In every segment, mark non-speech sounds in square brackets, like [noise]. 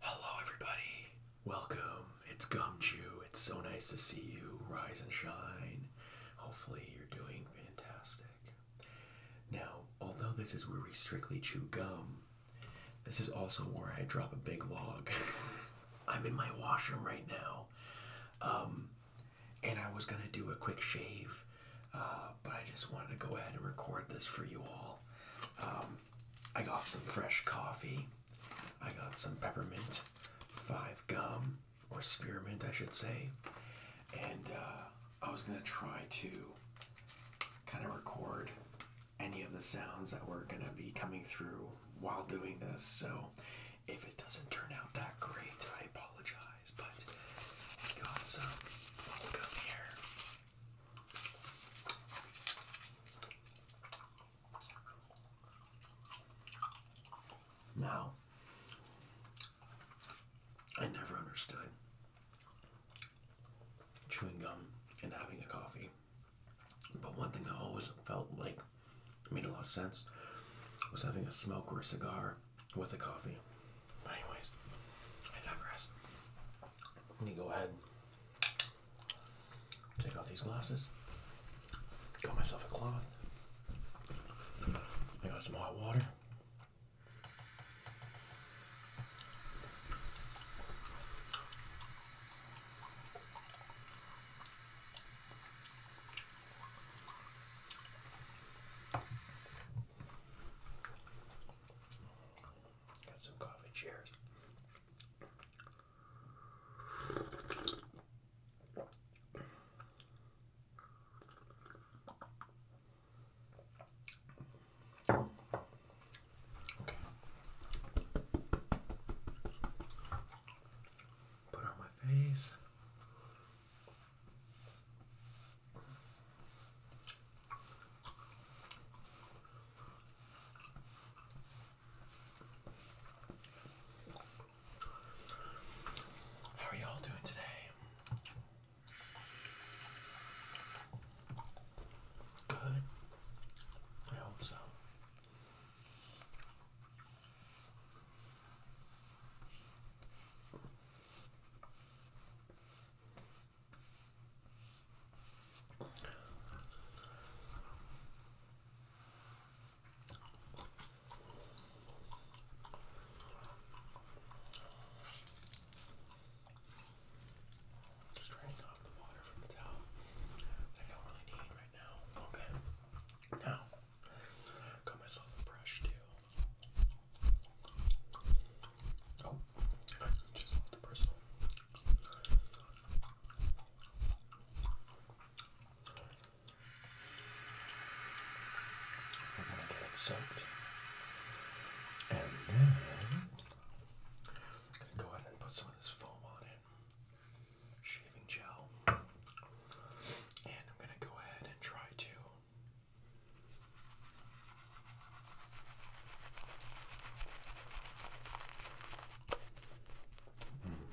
Hello, everybody. Welcome. It's Gumchew. It's so nice to see you. Rise and shine. Hopefully, you're doing fantastic. Now, although this is where we strictly chew gum, this is also where I drop a big log. [laughs] I'm in my washroom right now. Um, and I was going to do a quick shave uh, but I just wanted to go ahead and record this for you all. Um, I got some fresh coffee, I got some peppermint, five gum, or spearmint, I should say, and uh, I was going to try to kind of record any of the sounds that were going to be coming through while doing this. So if it doesn't turn out that great, I apologize. But I got some bubblegum here. Now, I never understood chewing gum and having a coffee. But one thing I always felt like made a lot of sense was having a smoke or a cigar with the coffee. But anyways, I got Let me go ahead, take off these glasses. Got myself a cloth. I got some hot water. Got some coffee. chairs. Put on my face. How are y'all doing today? Good. I hope so. Just draining off the water from the towel I don't really need right now. Okay. Now, got myself a brush too. I just gonna get it soaked. And then I'm gonna go ahead and put some of this foam on it. Shaving gel. And I'm gonna go ahead and try to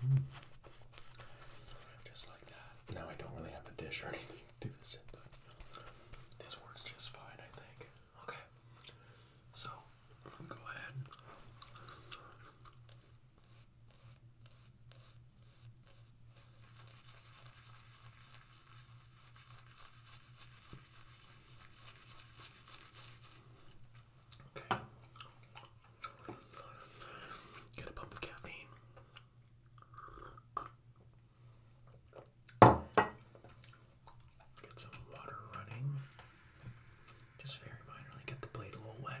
Hmm. Just like that. Now I don't really have a dish or [laughs] anything to do this but this works just fine, I think. Okay. So, go ahead. Okay. Get a pump of caffeine. Get some water running. Just very minorly get the blade a little wet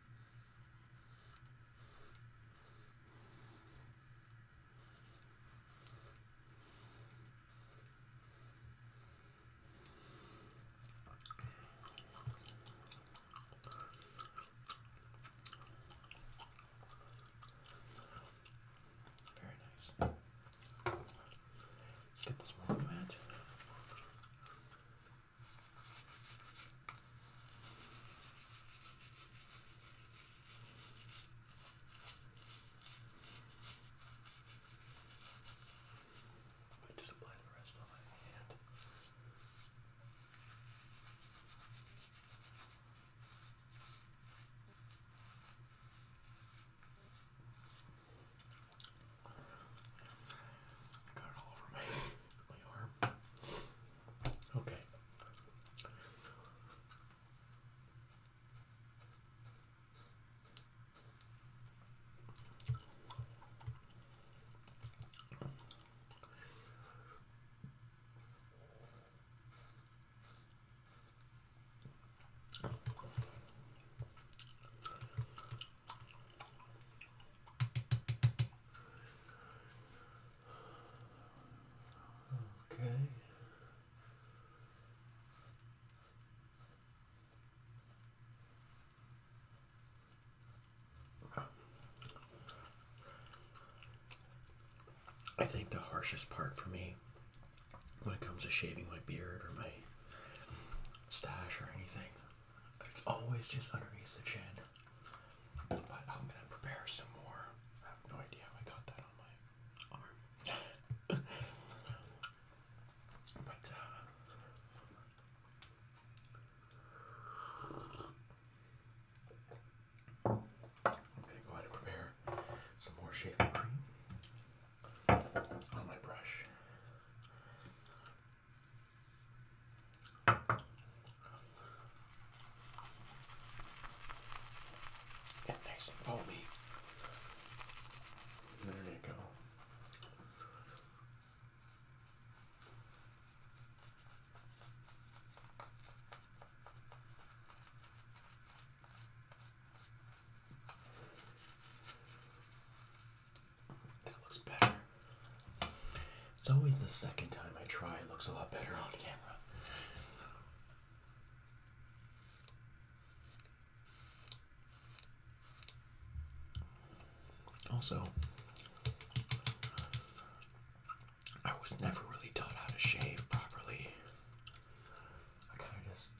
Very nice. Let's get this warm mat. I just apply the rest on my hand. Got it all over my my arm. Okay. Okay. I think the harshest part for me when it comes to shaving my beard or my stash or anything, it's always just underneath the chin. But I'm gonna prepare some more. I have no idea how I got that on my arm. [laughs] but uh, I'm gonna go ahead and prepare some more shaving cream on my brush. Get nice and foamy. There you go. That looks better. It's always the second time I try, it looks a lot better on camera. Also, I was never really taught how to shave properly. I kind of just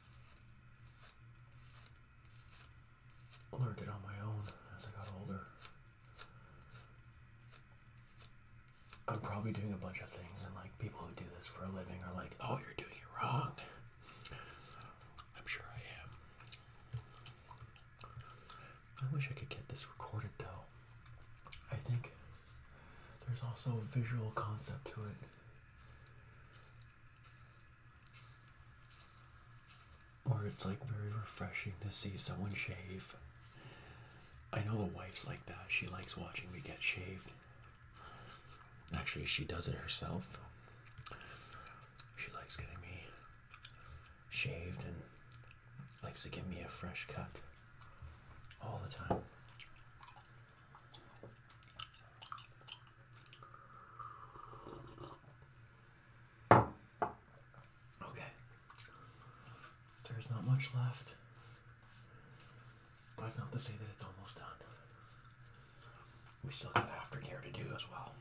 learned it on my own as I got older. I'm probably doing a bunch of things, and like people who do this for a living are like, oh, you're doing it wrong. I'm sure I am. I wish I could get this recorded though. I think there's also a visual concept to it. Or it's like very refreshing to see someone shave. I know the wife's like that. She likes watching me get shaved. Actually, she does it herself. She likes getting me shaved and likes to give me a fresh cut all the time. Okay. There's not much left. But it's not to say that it's almost done. We still got aftercare to do as well.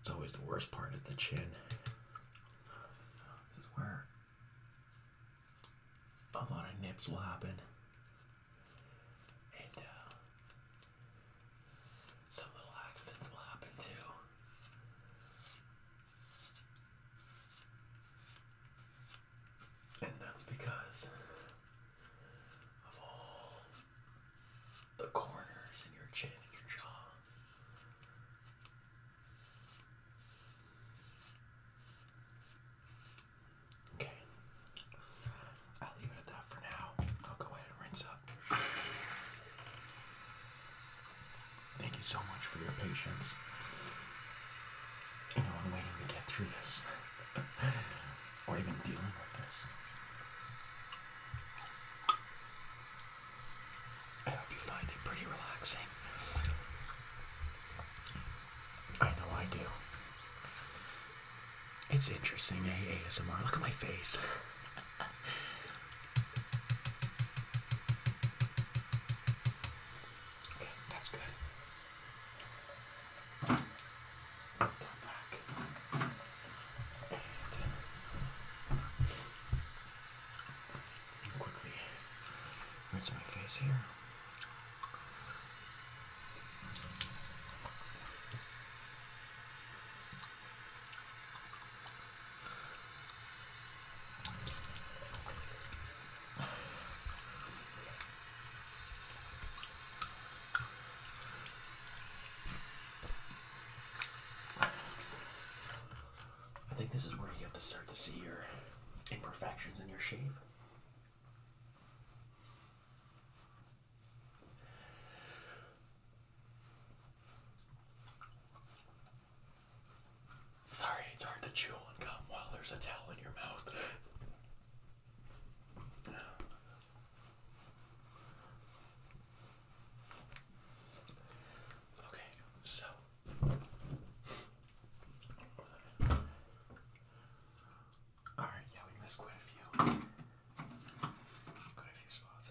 It's always the worst part is the chin. This is where a lot of nips will happen. And uh, some little accidents will happen too. And that's because of all the corners in your chin and your jaw. Okay. I'll leave it at that for now. I'll go ahead and rinse up. Thank you so much for your patience. You know, I'm waiting to get through this, [laughs] or even dealing with this. I hope you find it pretty relaxing. I know I do. It's interesting, eh? ASMR. Look at my face okay, that's good. Go back. And quickly rinse my face here. Okay, I think this is where you have to start to see your imperfections in your shave. Sorry, it's hard to chew and come while there's a towel in your mouth. Okay, so all right, yeah, we missed quite a few, quite a few spots.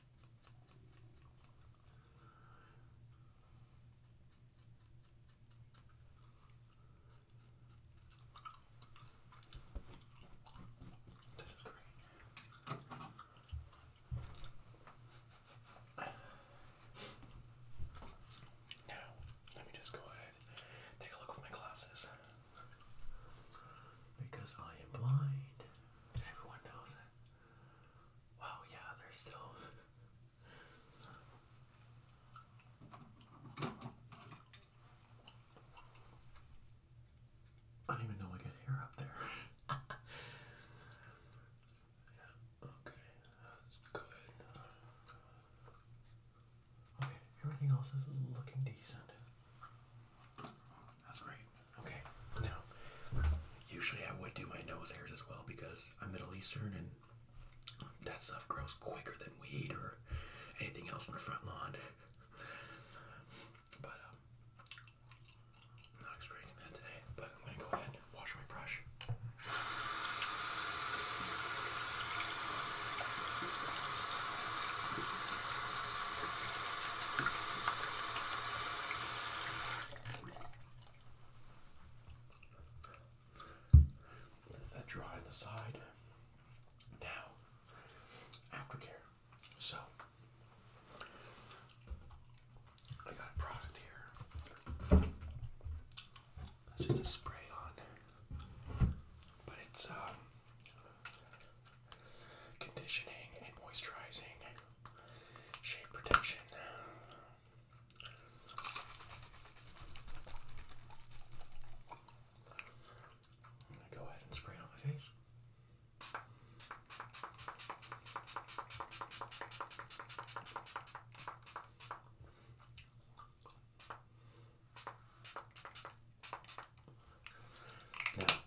This is great. Now, let me just go ahead take a look with my glasses. Because I am blind. Everyone knows it. Wow, yeah, they're still. [laughs] I don't even know I got hair up there. [laughs] yeah, okay, that's good. Okay, everything else is looking decent. That's great. Okay. Now, usually I would do my nose hairs as well because I'm Middle Eastern and that stuff grows quicker than weed or anything else in the front lawn. But I'm um, not experiencing that today. But I'm gonna go ahead wash my brush. Let that dry on the side. Now, aftercare. So, I got a product here. It's just a spray on, but it's um, conditioning and moisturizing, shade protection. I'm going to go ahead and spray it on my face.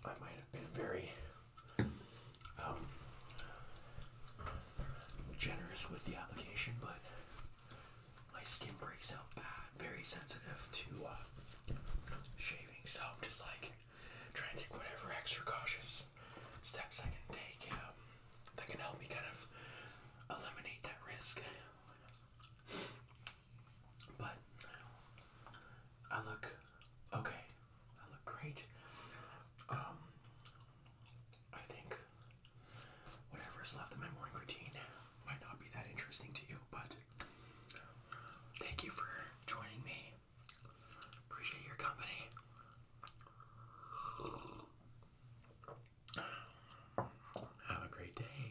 I might have been very um, generous with the application, but my skin breaks out bad, very sensitive to uh, shaving, so I'm just like trying to take whatever extra cautious steps I can take um, that can help me kind of eliminate that risk. But I look okay. I look great. Um, I think whatever is left of my morning routine might not be that interesting to you, but thank you for joining me. Appreciate your company. Have a great day.